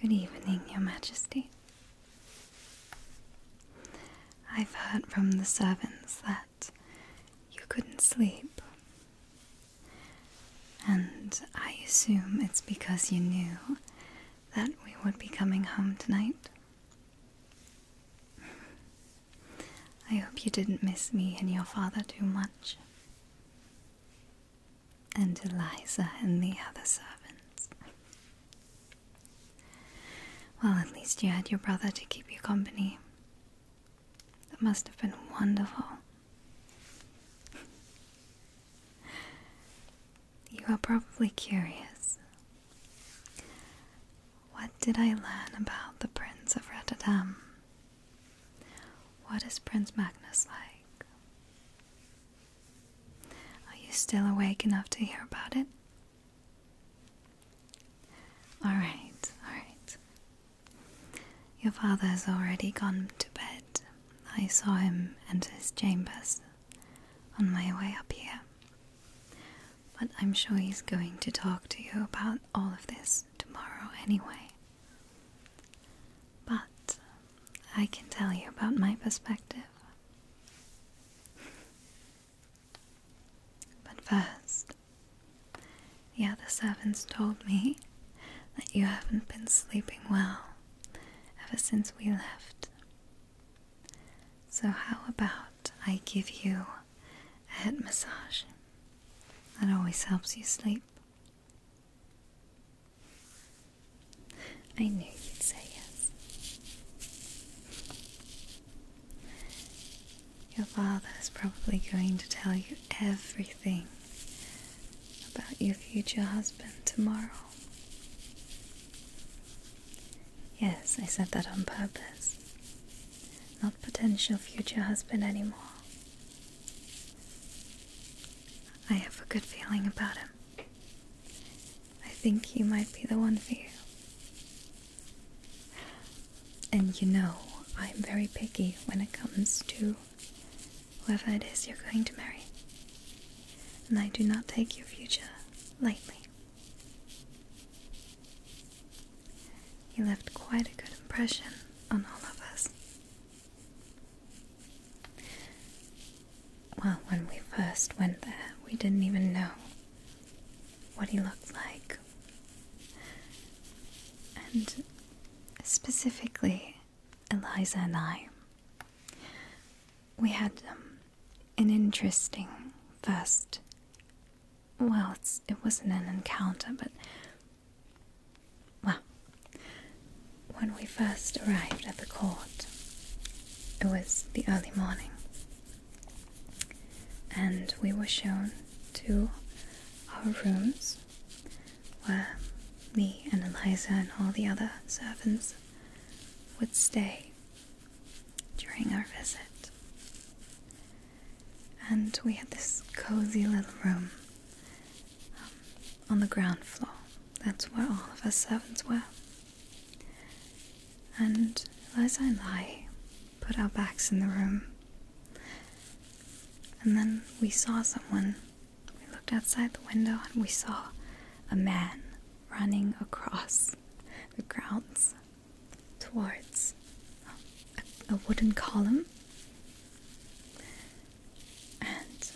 Good evening, Your Majesty. I've heard from the servants that you couldn't sleep, and I assume it's because you knew that we would be coming home tonight. I hope you didn't miss me and your father too much. And Eliza and the other servants. Well, at least you had your brother to keep you company. That must have been wonderful. You are probably curious what did I learn about the Prince of Rotterdam? What is Prince Magnus like? Are you still awake enough to hear about it? Alright, alright. Your father has already gone to bed. I saw him enter his chambers on my way up here. But I'm sure he's going to talk to you about all of this tomorrow anyway. But I can tell you about my perspective. But first, the other servants told me that you haven't been sleeping well ever since we left. So, how about I give you a head massage? That always helps you sleep. I knew you'd say yes. Your father is probably going to tell you everything about your future husband tomorrow. Yes, I said that on purpose. Not potential future husband anymore. I have a good feeling about him. I think he might be the one for you. And you know, I'm very picky when it comes to whoever it is you're going to marry. And I do not take your future lightly. He left quite a good impression on all of us. Well, when we first went there, we didn't even know what he looked like. And specifically, Eliza and I, we had um, an interesting first. Well, it wasn't an encounter, but. Well, when we first arrived at the court, it was the early morning, and we were shown to our rooms where me and Eliza and all the other servants would stay during our visit. And we had this cozy little room um, on the ground floor. That's where all of our servants were. And as I I put our backs in the room. And then we saw someone. We looked outside the window and we saw a man running across the grounds towards a, wooden column. And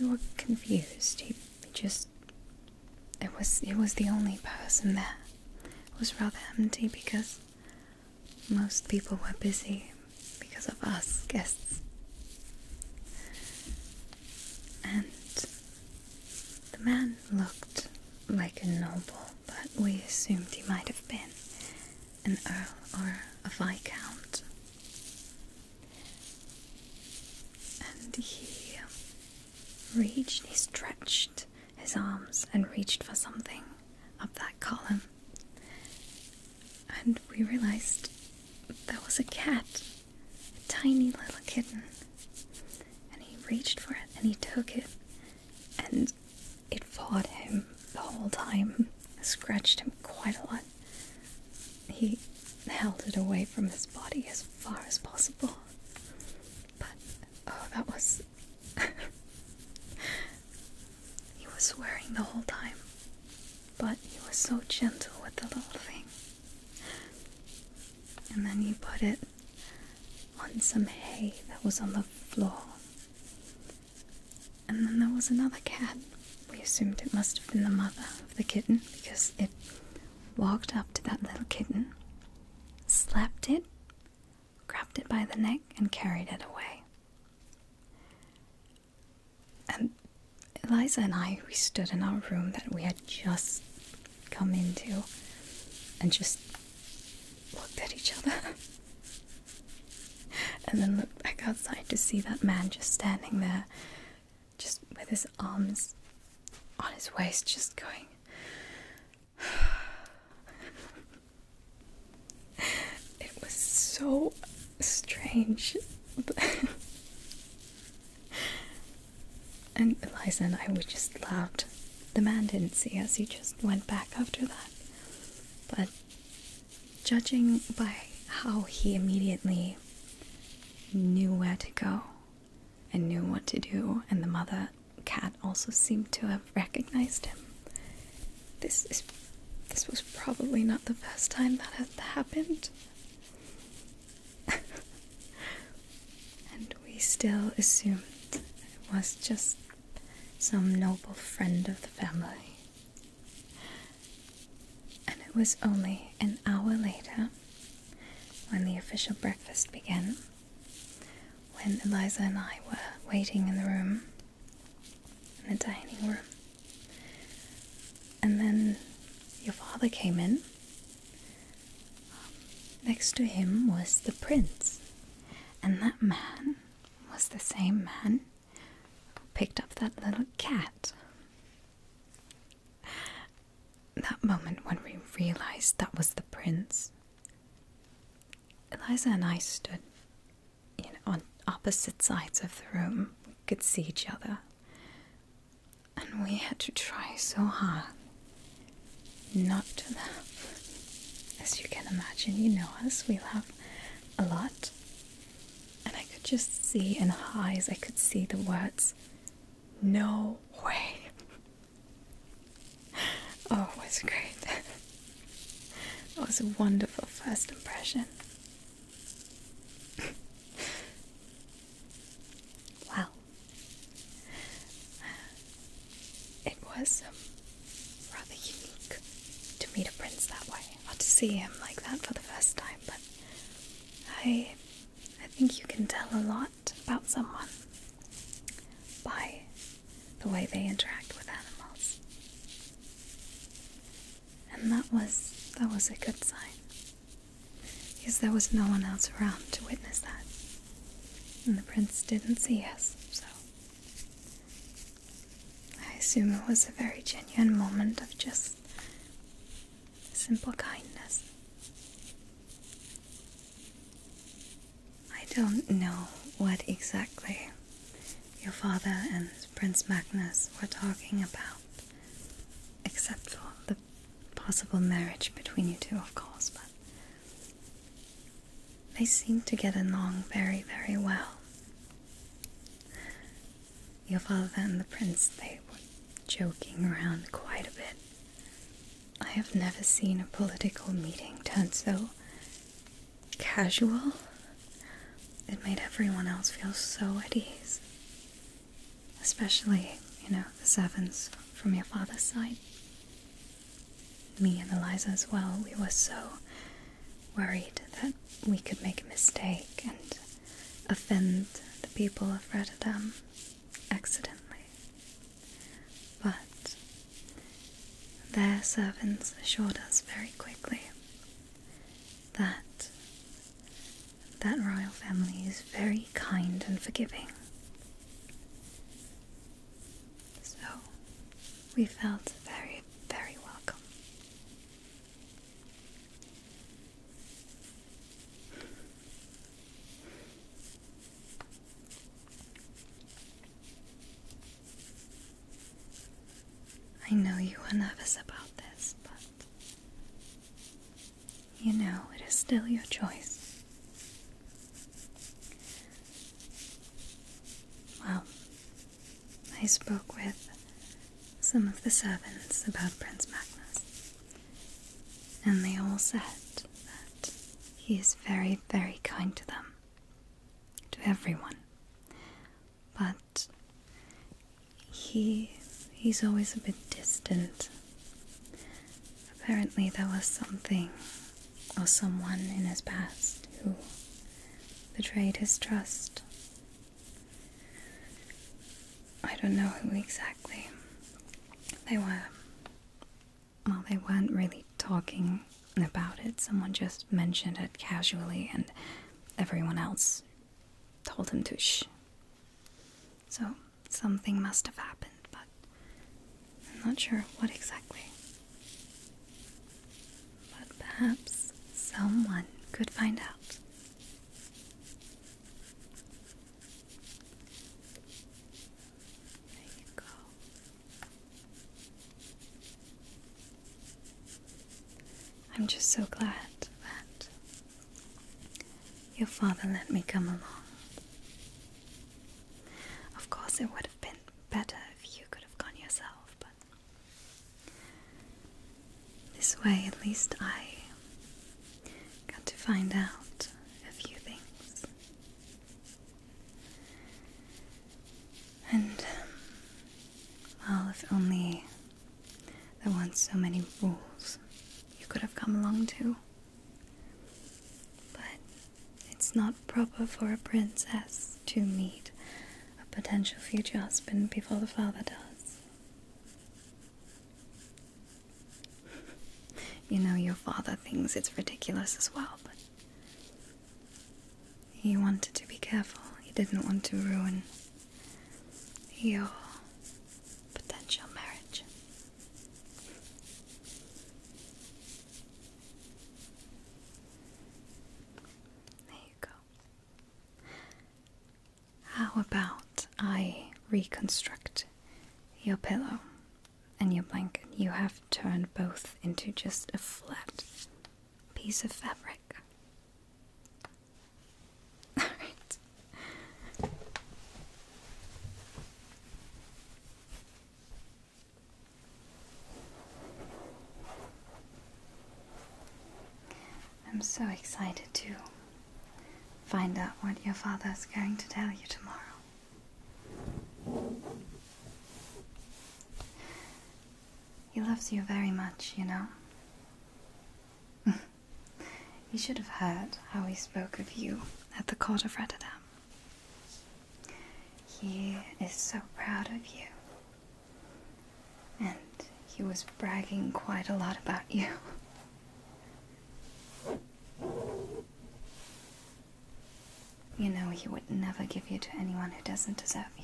we were confused. He, just it was it was the only person there. It was rather empty because most people were busy because of us guests. And the man looked like a noble, but we assumed he might have been an earl or a viscount. And he reached, he stretched his arms and reached for something up that column. And we realized that was a cat tiny little kitten. And he reached for it and he took it, and it fought him the whole time, scratched him quite a lot. He held it away from his body as far as possible. But, oh, that was. he was swearing the whole time, but he was so gentle with the little thing and then you put it on some hay that was on the floor. And then there was another cat. We assumed it must have been the mother of the kitten because it walked up to that little kitten, slapped it, grabbed it by the neck, and carried it away. Eliza and I, we stood in our room that we had just come into and just looked at each other. and then looked back outside to see that man just standing there, just with his arms on his waist, just going. it was so strange. and Eliza and I, we just laughed. The man didn't see us, he just went back after that. But judging by how he immediately knew where to go and knew what to do, and the mother cat also seemed to have recognized him. This is this was probably not the first time that had happened and we still assumed it was just some noble friend of the family. And it was only an hour later, when the official breakfast began, when Eliza and I were waiting in the room, in the dining room. And then your father came in um, next to him was the prince, and that man was the same man who picked up that little cat. That moment when we realized that was the prince, Eliza and I stood on opposite sides of the room. We could see each other and we had to try so hard not to laugh. As you can imagine, you know us, we laugh a lot. And I could just see in her eyes, I could see the words, No way. oh, it was great. it was a wonderful first impression. well, it was um, rather unique to meet a prince that way, or to see him like that for the first time, but I, I think you can tell a lot about someone by the way they interact with animals. And that was that was a good sign because there was no one else around to witness that. And the prince didn't see us, so. I assume it was a very genuine moment of just simple kindness. I don't know what exactly your father and Prince Magnus were talking about, except for the possible marriage between you two, of course, but they seem to get along very, very well. Your father and the prince, they were joking around quite a bit. I have never seen a political meeting tense so casual. It made everyone else feel so at ease. Especially, you know, the servants from your father's side. Me and Eliza as well, we were so worried that we could make a mistake and offend the people of Rotterdam accidentally. But their servants assured us very quickly that that royal family is very kind and forgiving. So, we felt very, very welcome. I know you were nervous about this, but you know, it is still your choice. Well, I spoke with some of the servants about Prince Magnus, and they all said that he is very, very kind to them, to everyone. But he he's always a bit distant Apparently, there was something or someone in his past who betrayed his trust. I don't know who exactly they were. Well, they weren't really talking about it, someone just mentioned it casually, and everyone else told him to shh. So, something must have happened, but I'm not sure what exactly. But perhaps someone could find out. There you go. I'm just so glad that your father let me come along. Of course, it would have been better if you could have gone yourself, but this way at least I got to find out a few things. And, um, well, if only there weren't so many rules, you could have come along too. But it's not proper for a princess to meet a potential future husband before the father does. you know, your father thinks it's ridiculous as well, but he wanted to be careful. He didn't want to ruin your potential marriage. There you go. How about I reconstruct your pillow and your blanket? You have turned both into just a flat piece of fabric. Alright. I'm so excited to find out what your father is going to tell you tomorrow. He loves you very much, you know. You should have heard how he spoke of you at the court of Rotterdam. He is so proud of you. And he was bragging quite a lot about you. You know he would never give you to anyone who doesn't deserve you.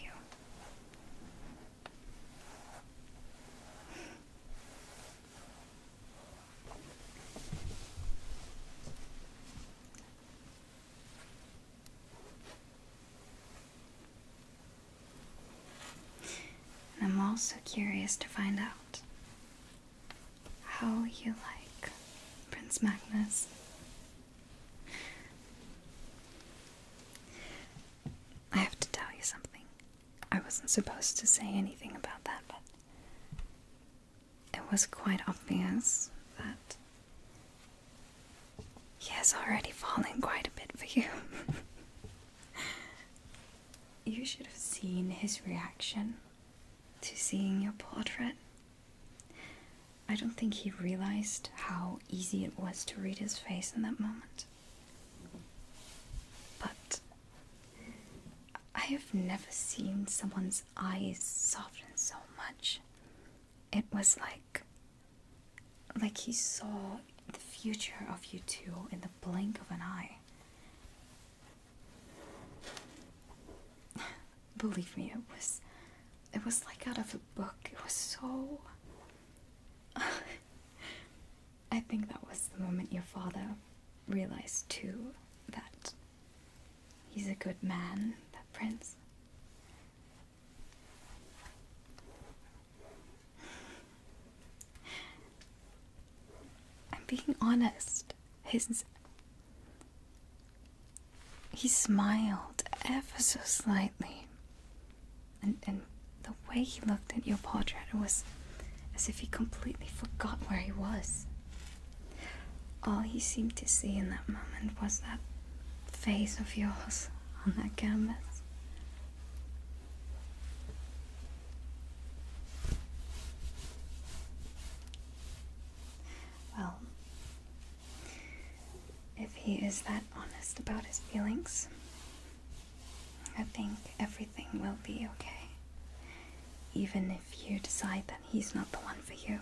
I'm also curious to find out how you like Prince Magnus. I have to tell you something. I wasn't supposed to say anything about that, but it was quite obvious that he has already fallen quite a bit for you. you should have seen his reaction to seeing your portrait. I don't think he realized how easy it was to read his face in that moment. But I have never seen someone's eyes soften so much. It was like like he saw the future of you two in the blink of an eye. Believe me, it was it was like out of a book. It was so I think that was the moment your father realize too that he's a good man, that prince. I'm being honest. His he smiled ever so slightly. And and the way he looked at your portrait was as if he completely forgot where he was. All he seemed to see in that moment was that face of yours on that canvas. Well, if he is that honest about his feelings, I think everything will be okay. Even if if you decide that he's not the one for you.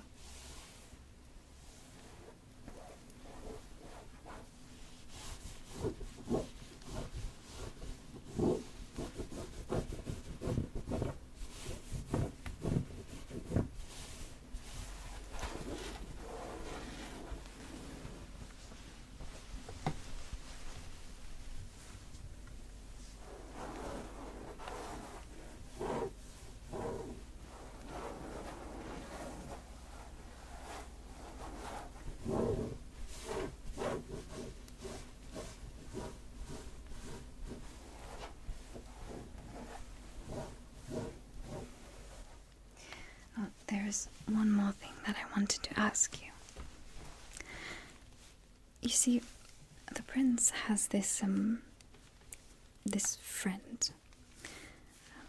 Oh, there's one more thing that I wanted to ask you. You see, the prince has this, um, this friend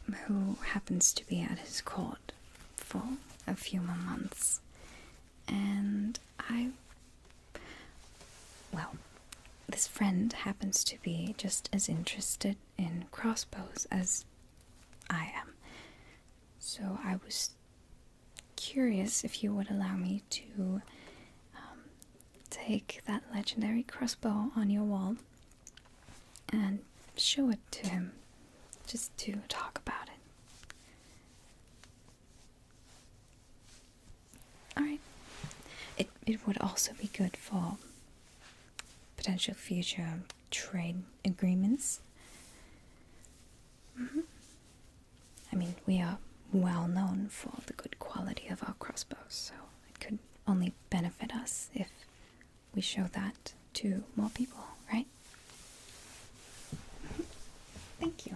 um, who happens to be at his court for a few more months. And I. Well, this friend happens to be just as interested in crossbows as I am. So I was curious if you would allow me to um, take that legendary crossbow on your wall and show it to him just to talk about it. Alright. It, it would also be good for potential future trade agreements. Mm -hmm. I mean, we are well known for the good quality of our crossbows, so it could only benefit us if we show that to more people, right? Thank you.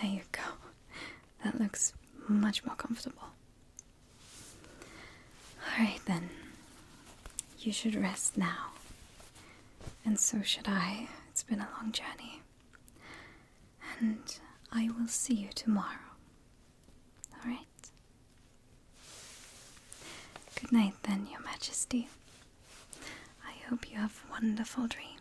There you go. That looks much more comfortable. Alright then. You should rest now. And so should I. It's been a long journey and I will see you tomorrow. Alright? Good night, then, Your Majesty. I hope you have wonderful dreams.